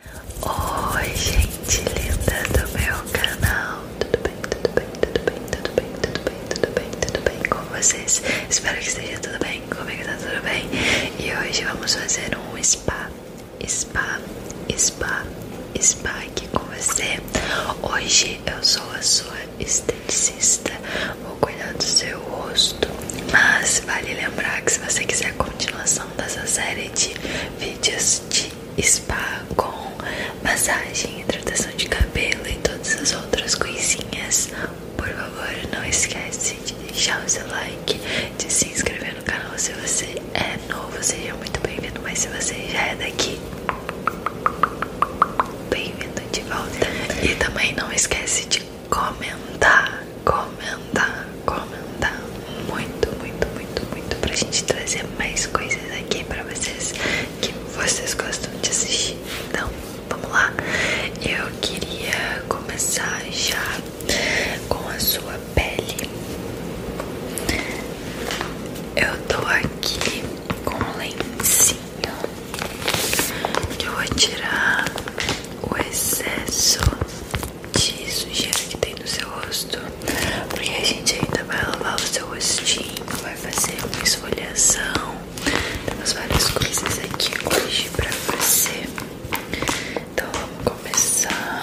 Oi gente linda do meu canal, tudo bem, tudo bem, tudo bem, tudo bem, tudo bem, tudo bem, tudo bem com vocês? Espero que esteja tudo bem, comigo é tá tudo bem E hoje vamos fazer um spa, spa, spa, spa aqui com você Hoje eu sou a sua esteticista, vou cuidar do seu rosto Mas vale lembrar que se você quiser continuar continuação dessa série de vídeos de spa com massagem, hidratação de cabelo e todas as outras coisinhas, por favor, não esquece de deixar o seu like, de se inscrever no canal se você é novo, seja muito bem-vindo, mas se você já é daqui, bem-vindo de volta. E também não esquece de comentar comentar, comentar muito, muito, muito, muito pra gente trazer mais coisas aqui pra vocês que vocês gostam de assistir. Então, vamos lá. Eu queria começar já com a sua pele. Eu tô aqui com um lencinho que eu vou tirar o excesso de sujeira que tem no seu rosto, porque a gente ainda vai lavar o seu rostinho, vai fazer uma esfoliação. Temos várias coisas aqui hoje pra fazer Então vamos começar.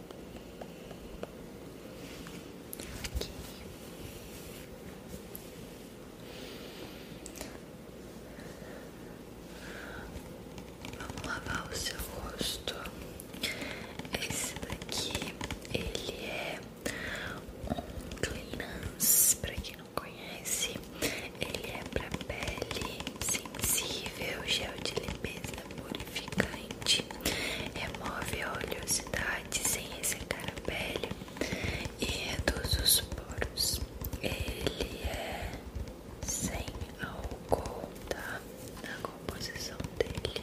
Aqui. Vamos lavar o seu rosto. Esse daqui, ele é um cleanse, para quem não conhece. Ele é para pele sensível, gel de limpeza purificante, remove a oleosidade sem ressecar a pele e reduz os poros. Ele é sem álcool, tá? Na composição dele.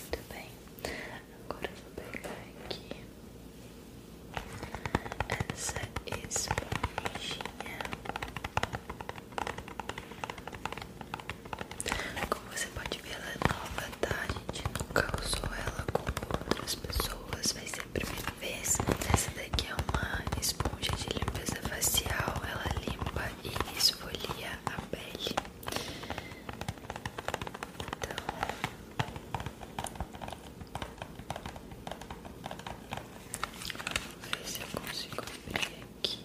Muito bem, agora eu vou pegar aqui essa esponjinha. Como você pode ver, ela é nova, tá? A gente nunca usou ela como outras pessoas, vai sempre a primeira vez. Essa daqui é uma esponja de limpeza facial, ela limpa e esfolia a pele. Então, vamos ver se eu consigo abrir aqui.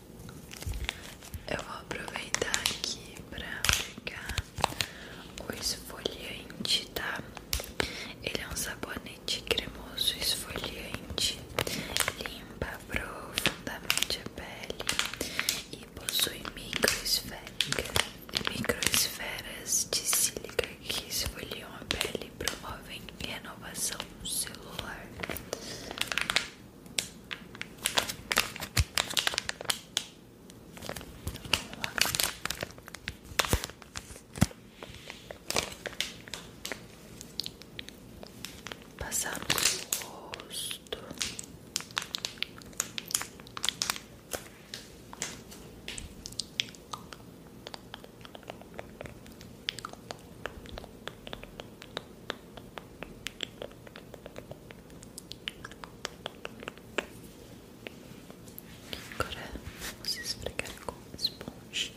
Eu vou aproveitar aqui para pegar o esfoliante, tá? Ele é um sabonete cremoso esfoliante, limpa profundamente a pele e possui microesferas de sílica que esfoliam a pele e promovem renovação celular. Passar no rosto. Agora vamos esfregar com esponjinha.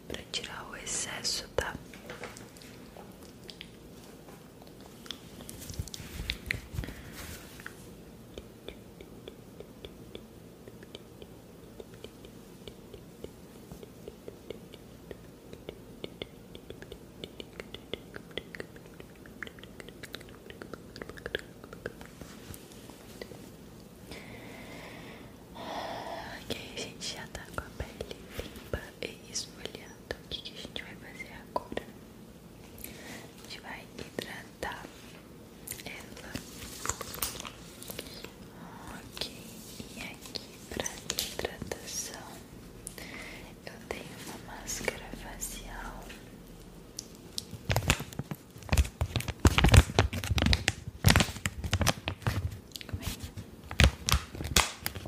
para tirar o excesso, tá? Ok, a gente já tá com a pele limpa e esfoliando, o que, a gente vai fazer agora? A gente vai hidratar ela. Ok, e aqui para hidratação eu tenho uma máscara facial.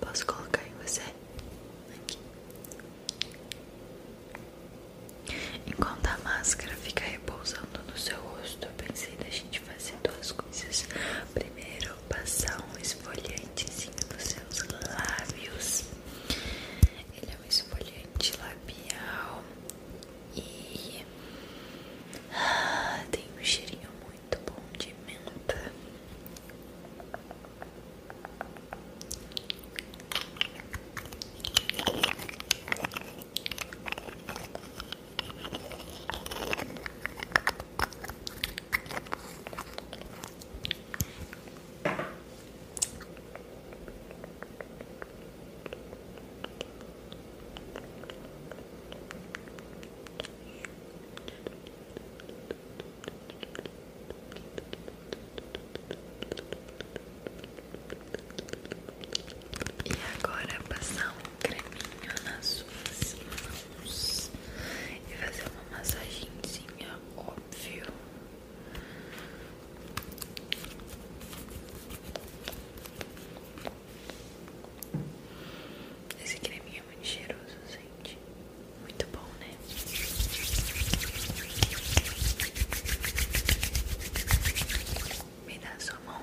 Posso colocar em você? Aqui. Enquanto a máscara fica repousando no seu rosto, eu pensei da gente fazer duas coisas. Primeiro, passar um esfoliantezinho nos seus lábios. Ele é um esfoliante labial e tem um cheirinho muito bom de menta. E agora passar um creminho nas suas mãos e fazer uma massagenzinha, óbvio. Esse creminho é muito cheiroso, gente. Muito bom, né? Me dá a sua mão.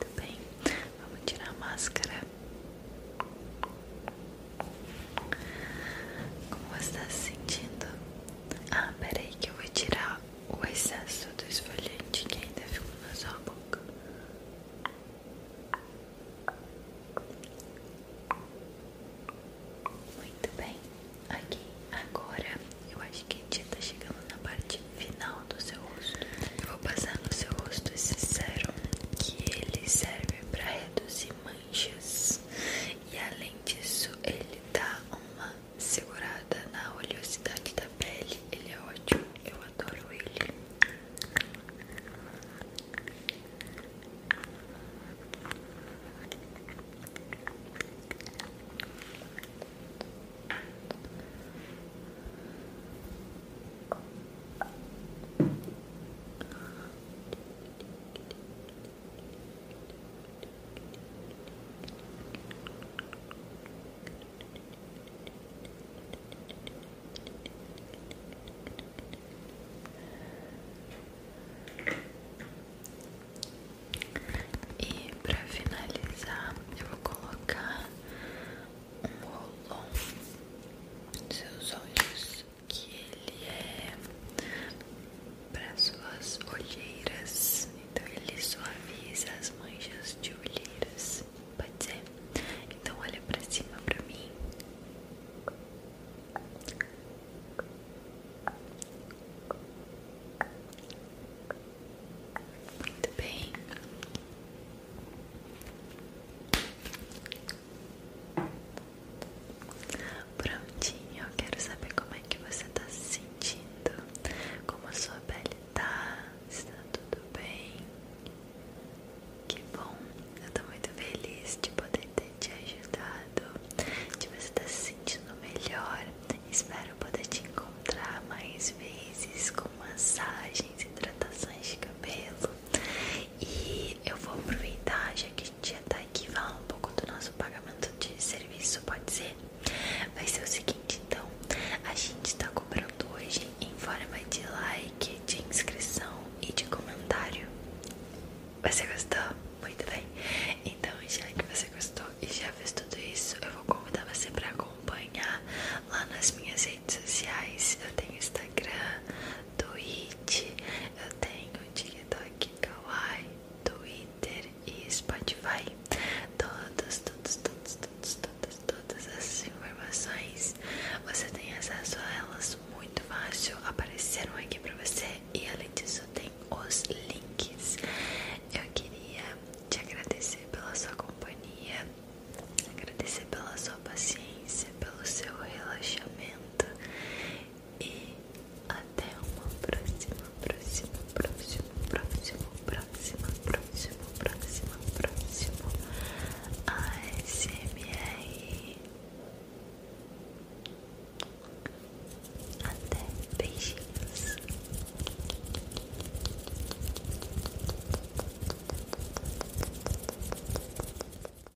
muito bem, vamos tirar a máscara como você está se sentindo? Ah, peraí que eu vou tirar o excesso do esfoliante que ainda ficou na sua boca. Muito bem, aqui agora eu acho que a gente está chegando na parte final do seu rosto. Eu vou passar no seu rosto esse sérum que ele serve para reduzir manchas e além disso, ele dá uma segurada na oleosidade da pele. Ele é ótimo, eu adoro Ele e para finalizar, eu vou colocar um rolo nos seus olhos que ele é para suas olheiras, então ele suaviza as manchas de olheiras, pode ser? Então olha para cima para mim. Muito bem. Prontinho, eu quero saber como é que você tá se sentindo, como a sua pele tá, se tá tudo bem. Que bom, eu tô muito feliz de poder ter te ajudado, de você estar tá se sentindo melhor. Espero poder te encontrar mais vezes com massagens, hidratações de cabelo. E eu vou aproveitar, já que hoje em dia, tá? Que fala um pouco do nosso pagamento de serviço, pode ser? Vai ser o seguinte, então, a gente tá cobrando hoje em forma de like, de inscrição e de comentário. Você gostou? Muito bem. Então, já que você gostou e já fez tudo isso, eu vou convidar você para acompanhar lá nas minhas redes sociais. Eu tenho Instagram, Twitch, eu tenho TikTok, Kawaii, Twitter e Spotify. Todos, todos, todos, todos, todas, todas essas informações você tem acesso a elas muito fácil. Apareceram aqui pra você e além disso tem os links. Eu queria te agradecer pela sua companhia, agradecer pela sua paciência, pelo seu relaxamento e até uma próxima, próxima, próxima, próxima, próxima, próxima, próxima, próxima ASMR. Até beijinhos.